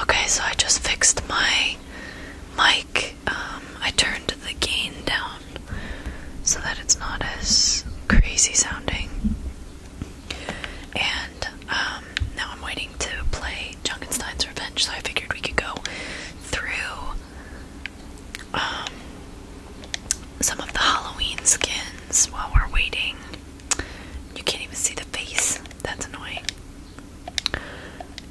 Okay, so I just fixed my mic. Um, I turned the gain down so that it's not as crazy sounding. And um, now I'm waiting to play Junkenstein's Revenge, so I figured we could go through um, some of the Halloween skins while we're waiting you can't even see the face. That's annoying.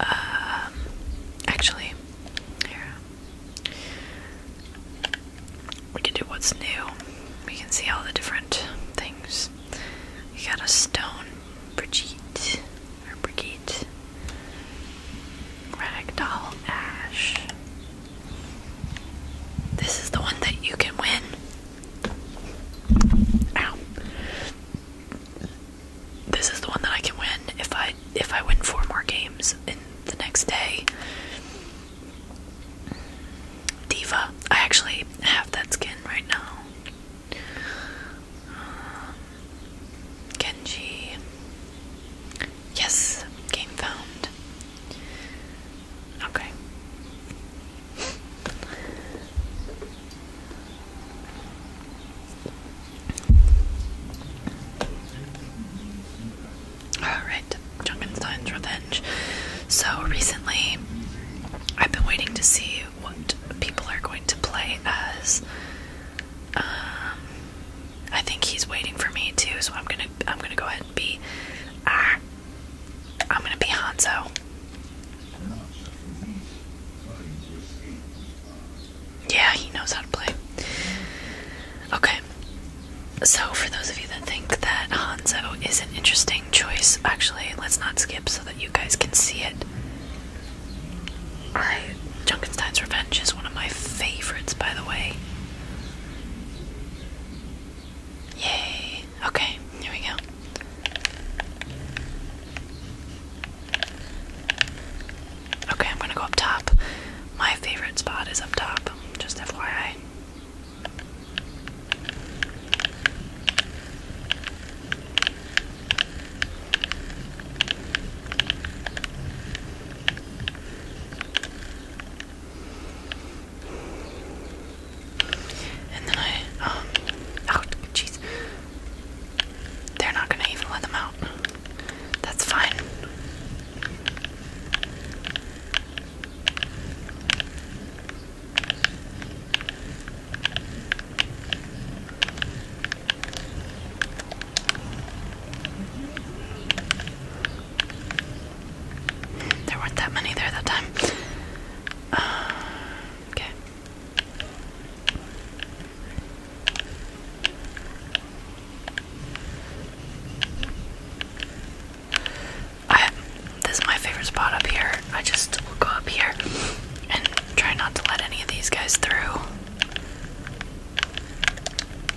Um, actually, we can do what's new. We can see all the different things. You got a stone, Brigitte, or Brigitte, Ragdoll Ash. This is the one that you can win. Ow. This is the one that I can win if I if I win four more games in the next day. Diva. I actually have that skin right now. Genji. Uh, yes, game found. Okay. Alright, Junkenstein's Revenge. So, recently, I've been waiting to see what people are going to play as. Um, I think he's waiting for me too, so I'm gonna I'm gonna go ahead and be ah, I'm gonna be Hanzo. Yeah, he knows how to play. Okay. So, for those of you that think that Hanzo is an interesting choice, actually, let's not skip so that you guys can see it. Alright, Junkenstein's Revenge is one of my favorites, by the way. Yay. Okay, here we go. Okay, I'm gonna go up top. My favorite spot is up top, just FYI. And then I, um, oh, jeez. They're not gonna even let them out. That's fine. There weren't that many there that time. Uh, okay. this is my favorite spot up here. I just go up here and try not to let any of these guys through.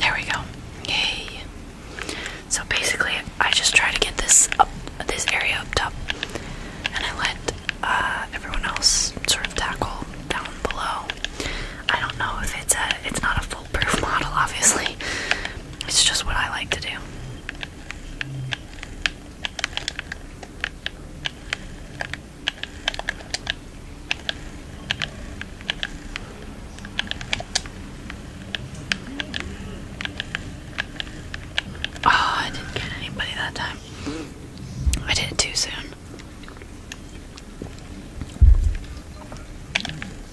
There we go. Yay. So basically, I just try to get this up, this area up top, and I let uh, everyone else sort of tackle down below. I don't know if it's a, it's not a foolproof model, obviously. It's just what I like to do. Oh, I didn't get anybody that time. I did it too soon.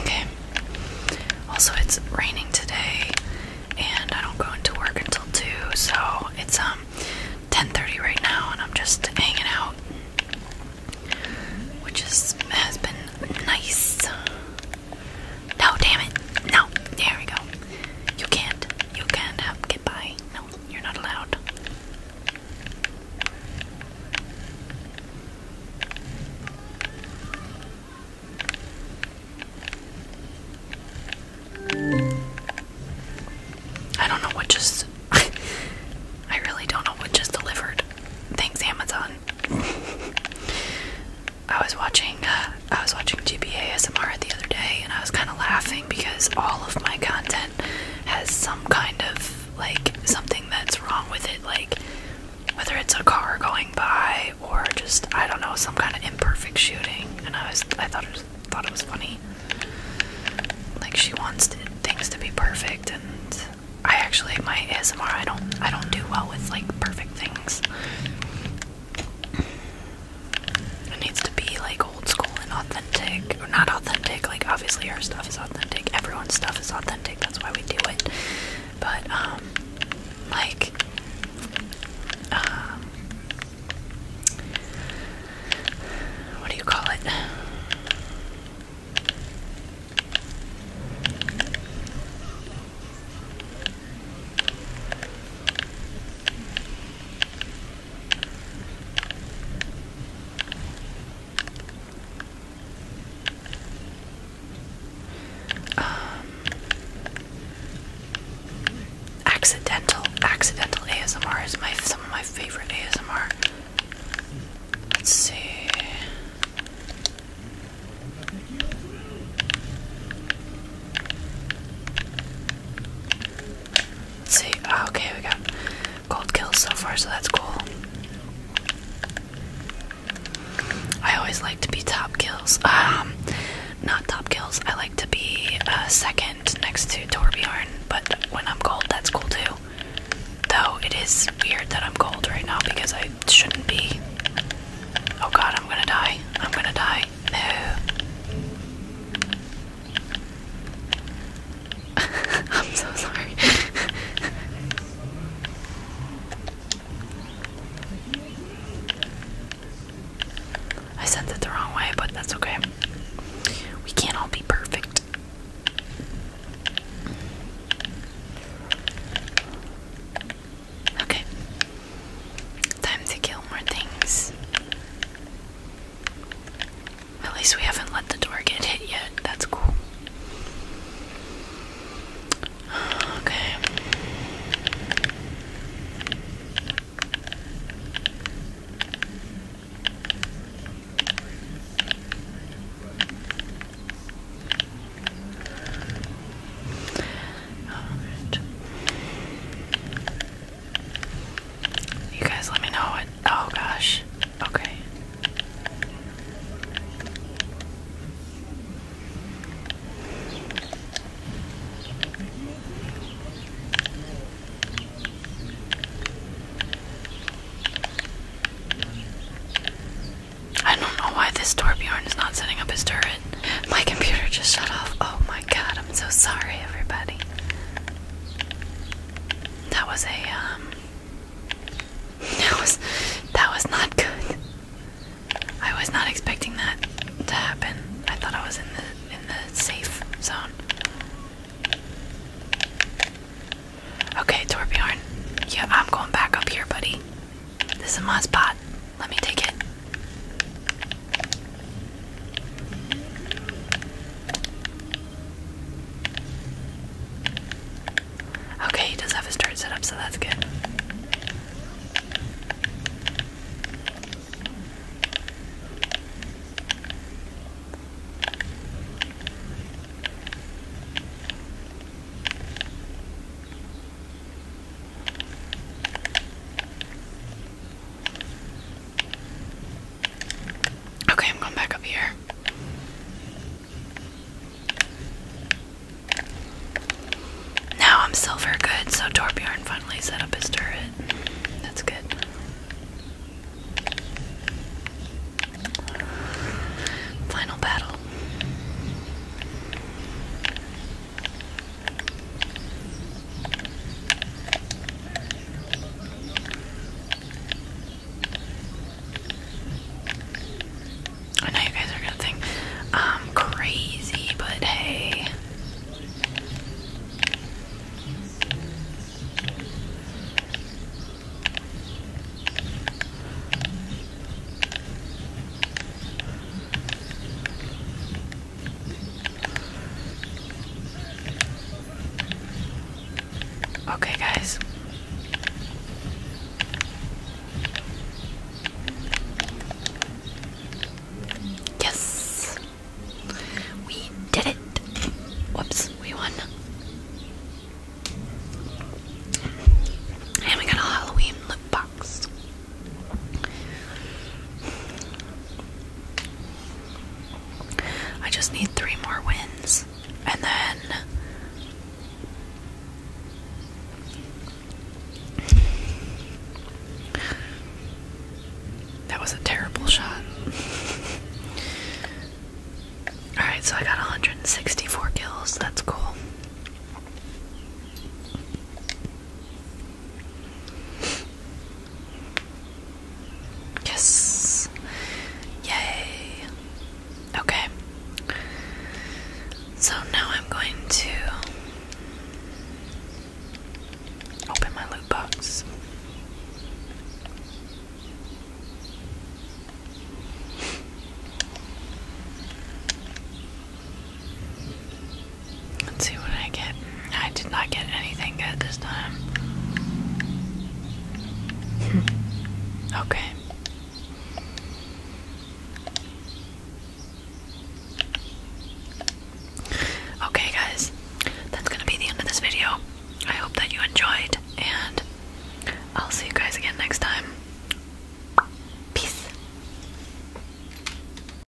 Okay. Also, it's raining today, and I don't go into work until two, so it's um 10:30 right now, and I'm just hanging out, which is has been nice. No, damn it, no. There we go. You can't, you can't have get No, you're not allowed. I don't know what just. I really don't know what just delivered. Thanks, Amazon. I was watching. Uh, I was watching GBA ASMR the other day, and I was kind of laughing because all of my content has some kind of like something that's wrong with it. Like whether it's a car going by or just I don't know some kind of imperfect shooting, and I was I thought it was, thought it was funny. Like she wants things to be perfect, and I actually my ASMR I don't I don't do well with like perfect things. It needs to be like old school and authentic, or not authentic. Like obviously our stuff is authentic. Everyone's stuff is authentic. That's why we do it. But um like um what do you call it? Um, accidental accidental ASMR is my some of my favorite ASMR. Let's see. Let's see. Ah, okay, we got gold kills so far, so that's cool. I always like to be top kills. Um, not top kills. I like to be uh, second next to Torbjorn, but when I'm cold, that's cool too. Though it is weird that I'm cold right now because I shouldn't be. Oh god, I'm gonna die. I'm gonna die. No. I'm so sorry. I sent it the wrong way, but that's okay. We can't all be perfect. Okay. Time to kill more things. At least we haven't let the door get hit yet. That's cool. Okay. Alright. You guys let me know what oh gosh. Okay. I don't know why this Torbjorn is not setting up his turret. My computer just shut off. Oh my god, I'm so sorry, everybody. That was a, um, that was that was not good. I was not expecting that to happen. I thought I was in the in the safe zone. Okay, Torbjorn. Yeah, I'm going back up here, buddy. This is my spot. Let me take it. Okay, he does have his turret set up, so that's good. Okay, I'm going back up here. Now I'm silver good, so Torbjorn finally set up his turret. That's good. Final battle. I know you guys are gonna think I'm crazy, but hey. Okay, guys. Yes. We did it. Whoops, we won. And we got a Halloween loot box. I just need three more wins, and then that was a terrible shot. Alright, so I got 164 kills, that's cool. Yes. Yay. Okay. So now I'm going to open my loot box. Let's see what I get. I did not get anything good this time. okay. Okay, guys, that's gonna be the end of this video. I hope that you enjoyed, and I'll see you guys again next time. Peace.